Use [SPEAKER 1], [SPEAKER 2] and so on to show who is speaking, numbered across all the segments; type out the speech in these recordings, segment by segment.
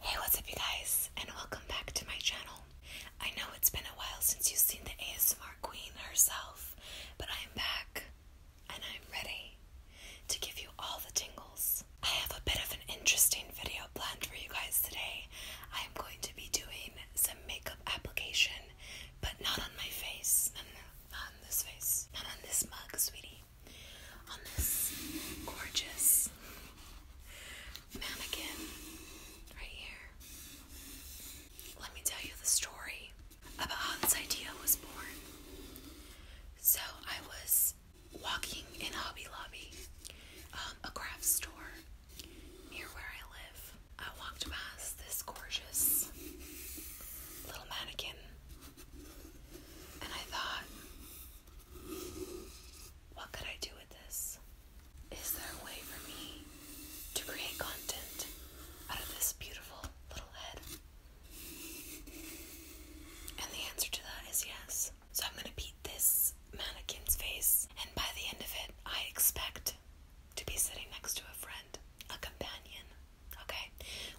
[SPEAKER 1] Hey, what's up, you guys, and welcome back to my channel. I know it's been a while since you've seen the ASMR queen herself, but I am back and I'm ready to give you all the tingles. I have a bit of an interesting video planned for you guys today. I am going to be doing some makeup application, but not on my face. No, no, no, not on this face. Not on this mug, sweetie on this gorgeous mannequin right here. Let me tell you the story about how this idea was born. So, I was walking in Hobby Lobby, um, a craft store near where I live. I walked past this gorgeous little mannequin, and I thought, what could I do with this? Is there a way for me to create content out of this beautiful little head? And the answer to that is yes. So I'm going to beat this mannequin's face, and by the end of it, I expect to be sitting next to a friend, a companion. Okay?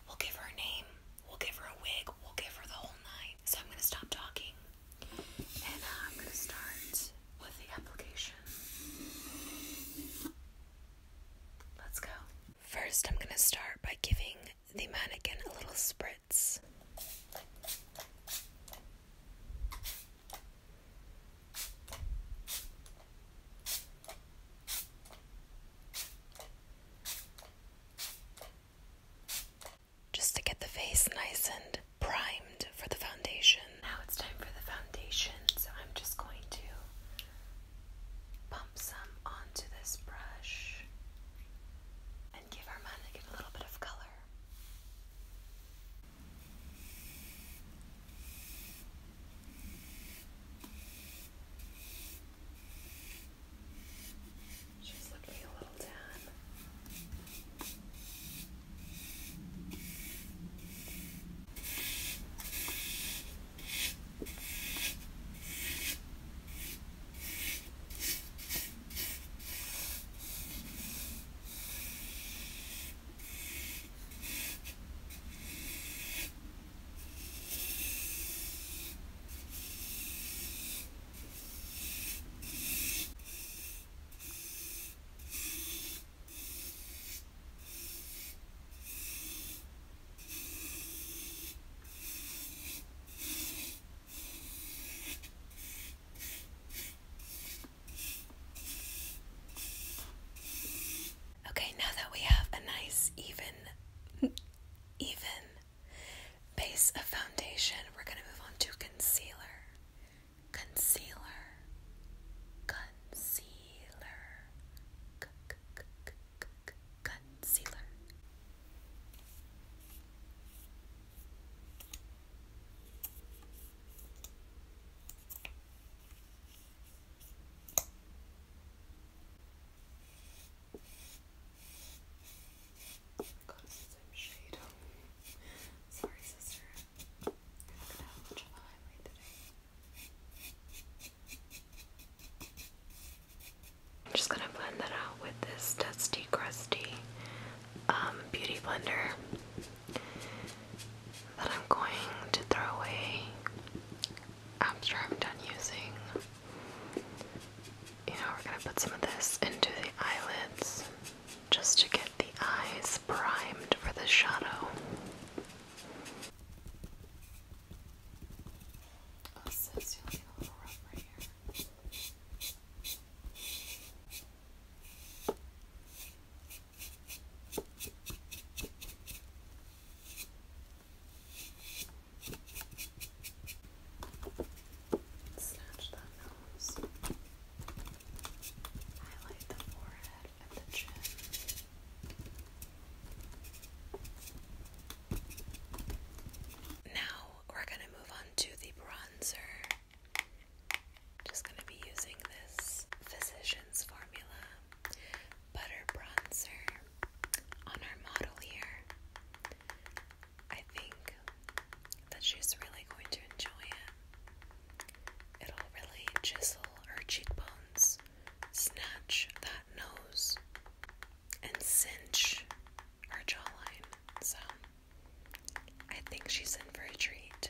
[SPEAKER 1] We'll give her a name. We'll give her a wig. We'll give her the whole night. So I'm going to stop talking. And uh, I'm going to start with the application. Let's go. First, I'm going to start by giving the mannequin a little spritz just to get the face nice and primed for the foundation. Now it's time for the foundation, so I'm just going to pump some onto this brush and give our mannequin a little bit of color. She's looking a little down. Okay, now that we have a nice even even Base of foundation, we're going to move on to concealer. Concealer. Concealer. concealer. I'm just gonna blend that out with this dusty, crusty um, beauty blender that I'm going to throw away after I'm done using. You know, we're gonna put some of this into the eyelids just to get the eyes primed for the shadow. Oh, now we're going to move on to the bronzer. Just going to be using this Physicians Formula Butter Bronzer on our model here. I think that she's really going to enjoy it. It'll really chisel her cheekbones, snatch that nose, and cinch her jawline. So I think she's in for a treat.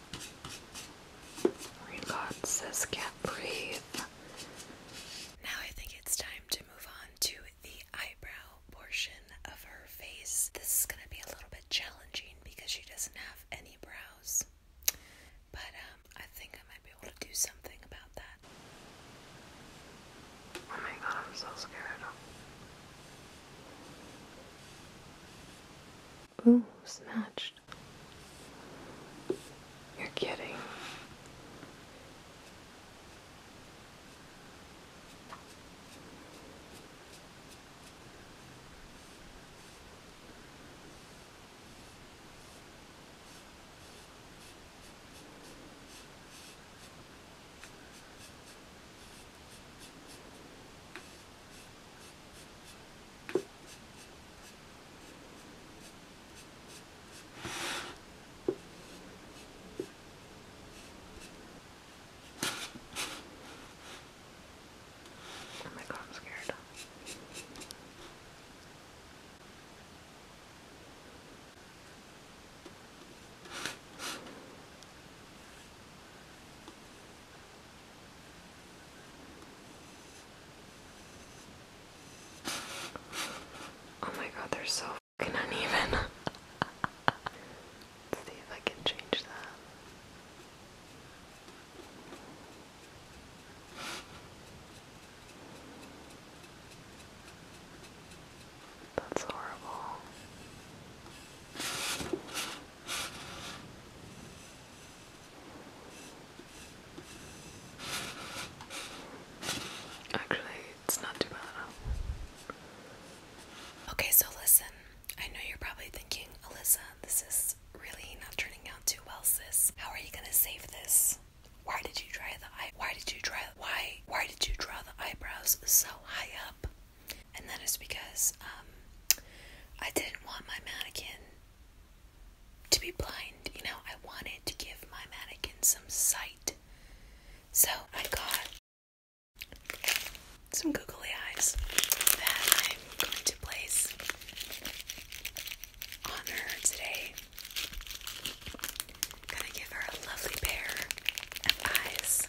[SPEAKER 1] Relax says can't breathe. Now I think it's time to move on to the eyebrow portion of her face. This is gonna be a little bit challenging because she doesn't have any brows. But um, I think I might be able to do something about that. Oh my god, I'm so scared. Ooh, snatch. You're kidding. Oh my god, I'm scared. Oh my god, they're so fucking uneven. Let's see if I can change that. That's horrible. Actually, it's not too bad Okay, so listen. I know you're probably thinking, Alyssa, this is really not turning out too well, sis. How are you gonna save this? Why did you try the eye? Why did you try? Why? Why did you draw the eyebrows so high up? And that is because um, I didn't want my mannequin to be blind, you know, I wanted to give my mannequin some sight. So I got some googly eyes that I'm going to place on her today. Gonna give her a lovely pair of eyes.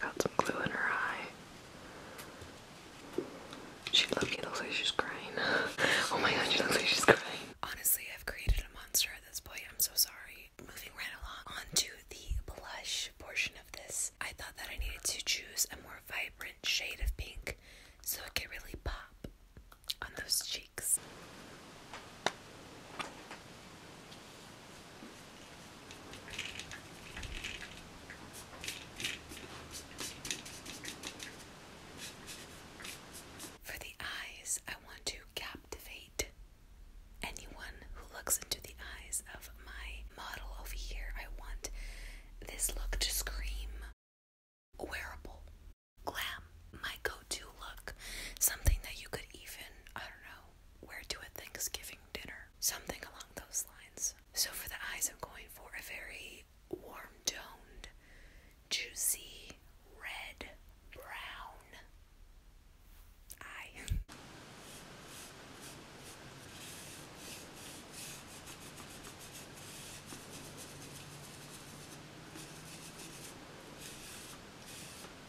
[SPEAKER 1] Got some glue in her eye. She looks like she's crying. oh my god, she looks like she's crying. Honestly, I've created a monster at this point. I'm so sorry. Moving right along onto the blush portion of this, I thought that I needed to choose a more vibrant shade of pink so it could really pop on those cheeks. For the eyes, I want to captivate anyone who looks into the eyes of my model over here. I want this look to scream wearable, glam, my go to look, something that you could even, I don't know, where to a Thanksgiving dinner, something along those lines. So for the eyes, I'm going for a very warm toned, juicy, red, brown eye.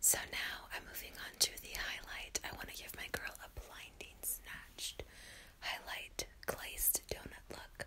[SPEAKER 1] So now I'm moving on to the highlight. I want to give my girl a blinding snatched highlight glazed donut look.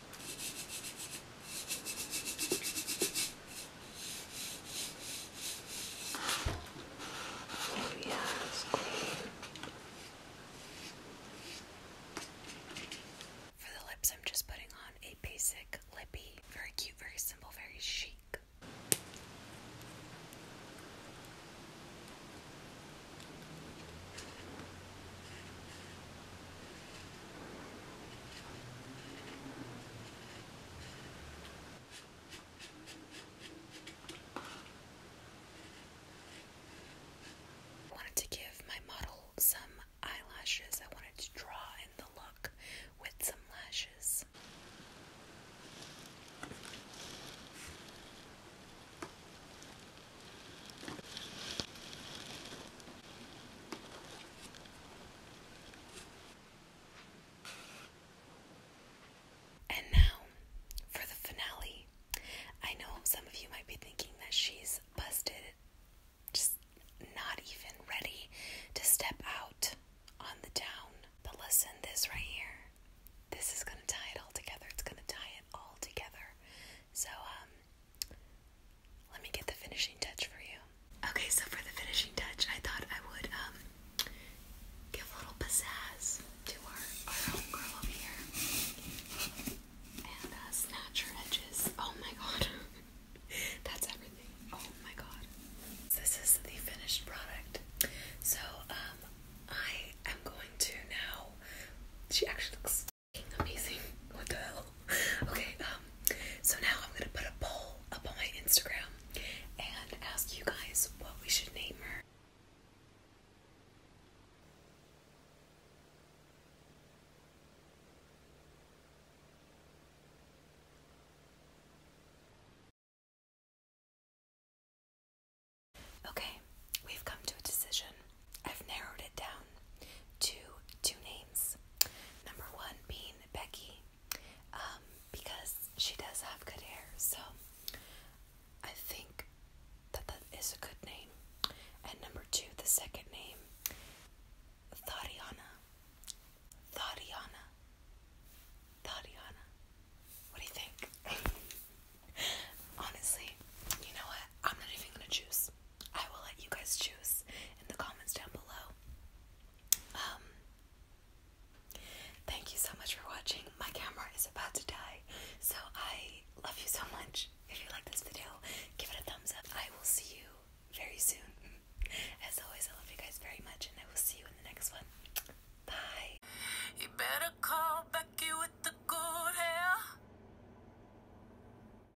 [SPEAKER 1] For the lips, I'm just putting on a basic lippy. Very cute, very simple, very chic. I wanted to give my model some eyelashes. I wanted to draw in the look with some lashes. And now for the finale. I know some of you might be thinking that she's busted, just not even ready to step out on the town. But listen, this right here, this is going to tie it all together. It's going to tie it all together. So, um, let me get the finishing touch for you. Okay, so for the finishing touch, I thought I would um give a little pizzazz to our, our homegirl over here. And uh, snatch her edges. Oh my god. That's everything. Oh my god. This is the finished product. So, um, I am going to now. She actually looks amazing. What the hell? Okay, um, so now I'm gonna put a poll up on my Instagram and ask you guys what we should name her. Okay, we've come to a decision. I've narrowed it down down two names. Number one being Becky, um, because she does have good hair, so I think that that is a good name. And number two, the second name, Thadiana. Thadiana. Thadiana. What do you think? Honestly, you know what? I'm not even gonna choose. I will let you guys choose in the comments down below. Um, thank you so much for watching. My camera is about to die, so I love you so much. If you like this video, give it a thumbs up. I will see you very soon. As always, I love you guys very much, and I will see you in the next one. Bye.